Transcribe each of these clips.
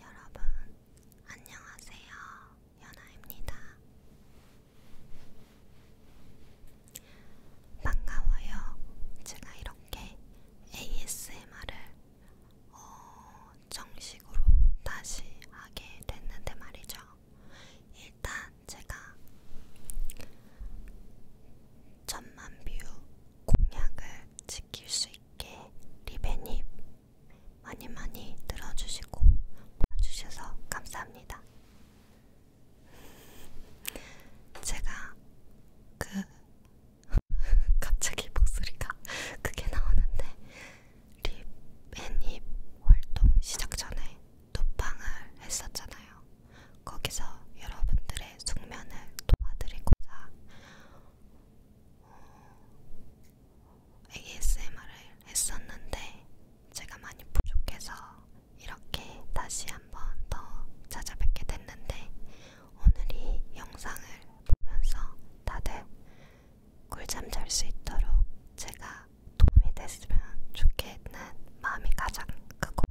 여러분, 안녕하세요. 연아입니다. 반가워요. 제가 이렇게 ASMR을 어, 정식으로 다시 하게 됐는데 말이죠. 일단 제가 천만 뷰 공약을 지킬 수 있게 리베님 많이 많이 들어주시고 봐주셔서 감사합니다. 제가 그 갑자기 목소리가 크게 나오는데 립앤힙 활동 시작 전에 톡방을 했었잖아요. 거기서 여러분들의 숙면을 도와드리고자 어, ASMR을 했었는데 제가 많이 부족해서 이렇게 다시 한 번 더 찾아뵙게 됐는데 오늘 이 영상을 보면서 다들 꿀잠 잘 수 있도록 제가 도움이 됐으면 좋겠는 마음이 가장 크고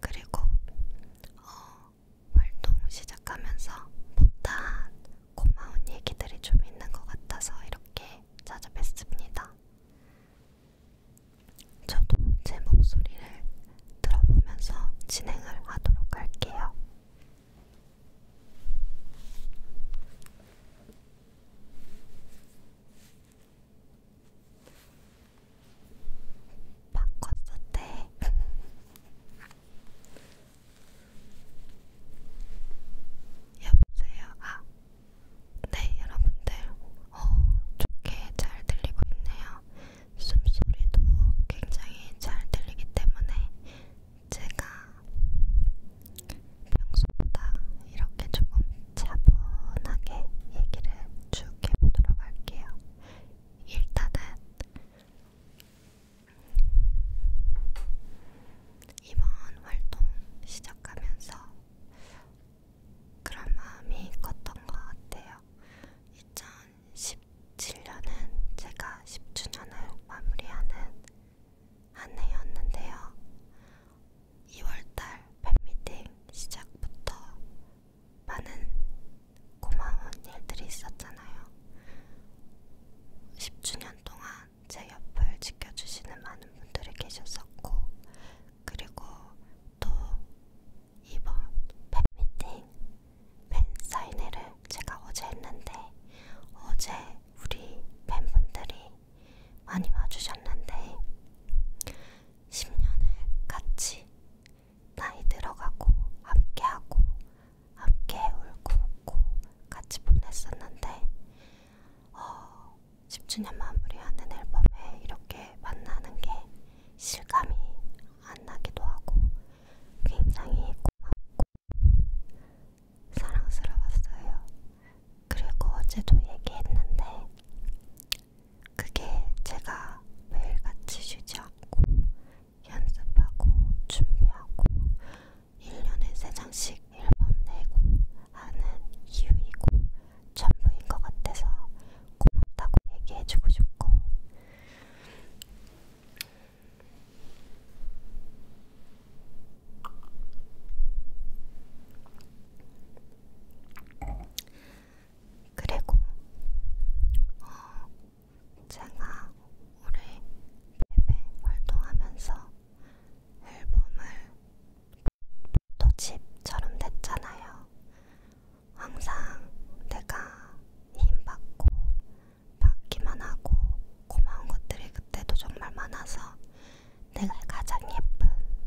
그리고 어, 활동 시작하면서 못한 고마운 얘기들이 좀 있는 것 같아서 이렇게 찾아뵙습니다. 저도 제 목소리를 들어보면서 진행을 하도록 할게요. 바꿨을 때 네. 여보세요. 아, 네, 여러분들, 어, 좋게 잘 들리고 있네요. 숨소리도 굉장히 잘 들리기 때문에 제가 평소보다 이렇게 조금 차분하게 얘기를 쭉 해보도록 할게요. 일단은 이번 활동 시작하면서 그런 마음이 컸던 것 같아요. 2017년은 제가 10주년을 마무리하는 한 해였는데요. 2월달 팬미팅 시작부터 많은 고마운 일들이 있었잖아요. 10주년 동안 제 옆을 지켜주시는 많은 분들이 계셨었고, 그리고 또 이번 팬미팅 팬사인회를 제가 어제 했는데 어제 우리 팬분들이 많이 와주셨는데 10년을 같이 나이 들어가고 함께하고 함께 울고 웃고 같이 보냈었는데 어, 10주년 마무리하는 앨범에 이렇게 만나는 게 실감이 안 나기도 하고 굉장히 고맙고 사랑스러웠어요. 그리고 어제도 얘기했는데 그게 제가 매일같이 쉬지 않고 연습하고 준비하고 1년에 3장씩 앨범 내고 하는 이유이고 전부인 것 같아서 고맙다고 얘기해주고 싶고 그리고 어, 제가 올해 베베 활동하면서 앨범을 도집처럼 됐잖아요. 항상 내가 힘받고 받기만 하고 고마운 것들이 그때도 정말 많아서 내가 가장 예쁜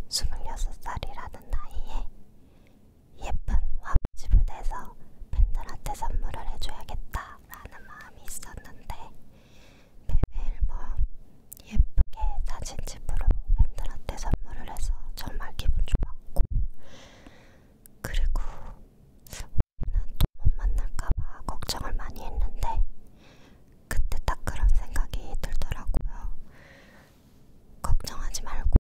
26살이라는 나이에 예쁜 화분집을 내서 팬들한테 선물을 해줘야겠다라는 마음이 있었는데 베베일범 예쁘게 사진집으로 팬들한테 선물을 해서 정말 기분 좋았고 그리고 올해는 또 못 만날까봐 걱정을 많이 했는데 그때 딱 그런 생각이 들더라고요. 걱정하지 말고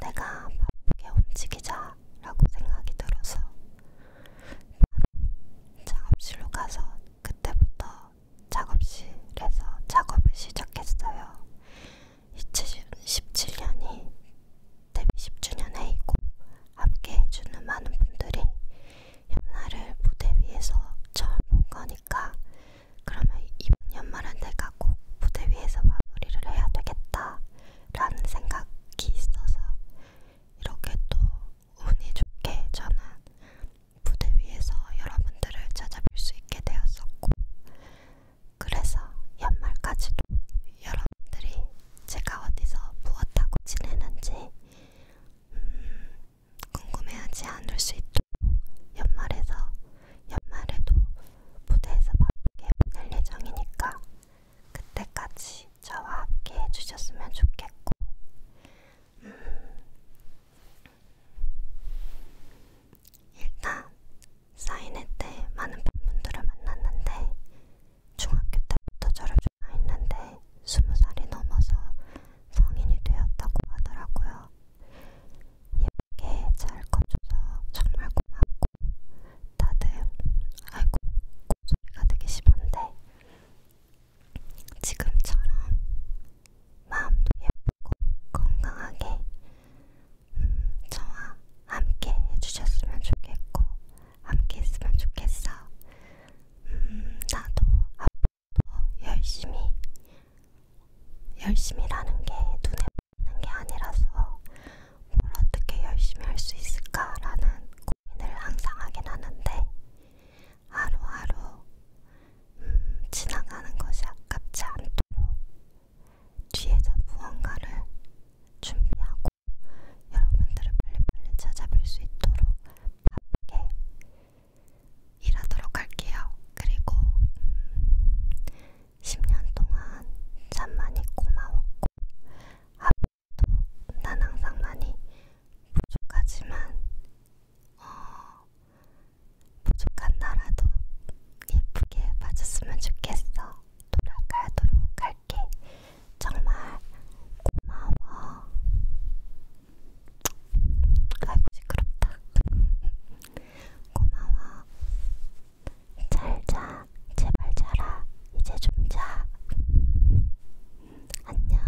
내가 바쁘게 움직이자라고 생각이 들어서 바로 작업실로 가서 그때부터 작업실에서 작업을 시작했어요. 2017년이 데뷔 10주년 해이고 함께 해주는 많은 분들이 연말을 무대 위에서 처음 본 거니까 그러면 이번 연말은 내가 꼭 무대 위에서 마무리를 해야 되겠다 라는 생각이 있어서 이렇게 또 운이 좋게 저는 무대 위에서 여러분들을 찾아뵐 수 있게 되었었고, 그래서 연말까지도 여러분들이 제가 어디서 무엇하고 지내는지 음, 궁금해하지 않을 수 있도록 연말에서 연말에도 무대에서 바쁘게 보낼 예정이니까 그때까지 저와 함께 해주셨으면 좋겠고, 음, 일단 사인회 때 많은 팬분들을 만났는데, 중학교 때부터 저를 좋아했는데, 스무 살이 넘어서 성인이 되었다고 하더라고요. 예쁘게 잘 커줘서 정말 고맙고, 다들 아이고 소리가 되게 심한데 지금처럼 마음도 예쁘고 건강하게 음, 저와 함께 해주셨으면 좋겠고 함께 했으면 좋겠어. 음, 나도 앞으로 열심히 열심히라는 게 눈에 있는 게 아니라서 뭘 어떻게 열심히 할 수 있을까라는 고민을 항상 하긴 하는데 하루하루 음, 지나가는 것이 아깝지 않도록 뒤에서 무언가를 준비하고 여러분들을 빨리빨리 찾아뵐 수 있도록 바쁘게 일하도록 할게요. 그리고 음, 10년 동안 참 많이 고마웠고 앞으로도 난 항상 많이 부족하지만 어, 부족한 나라도 예쁘게 봐줬으면 좋겠어. 돌아가도록 할게. 정말 고마워. 아이고 시끄럽다. 고마워. 잘자 제발 자라 이제 좀자 안녕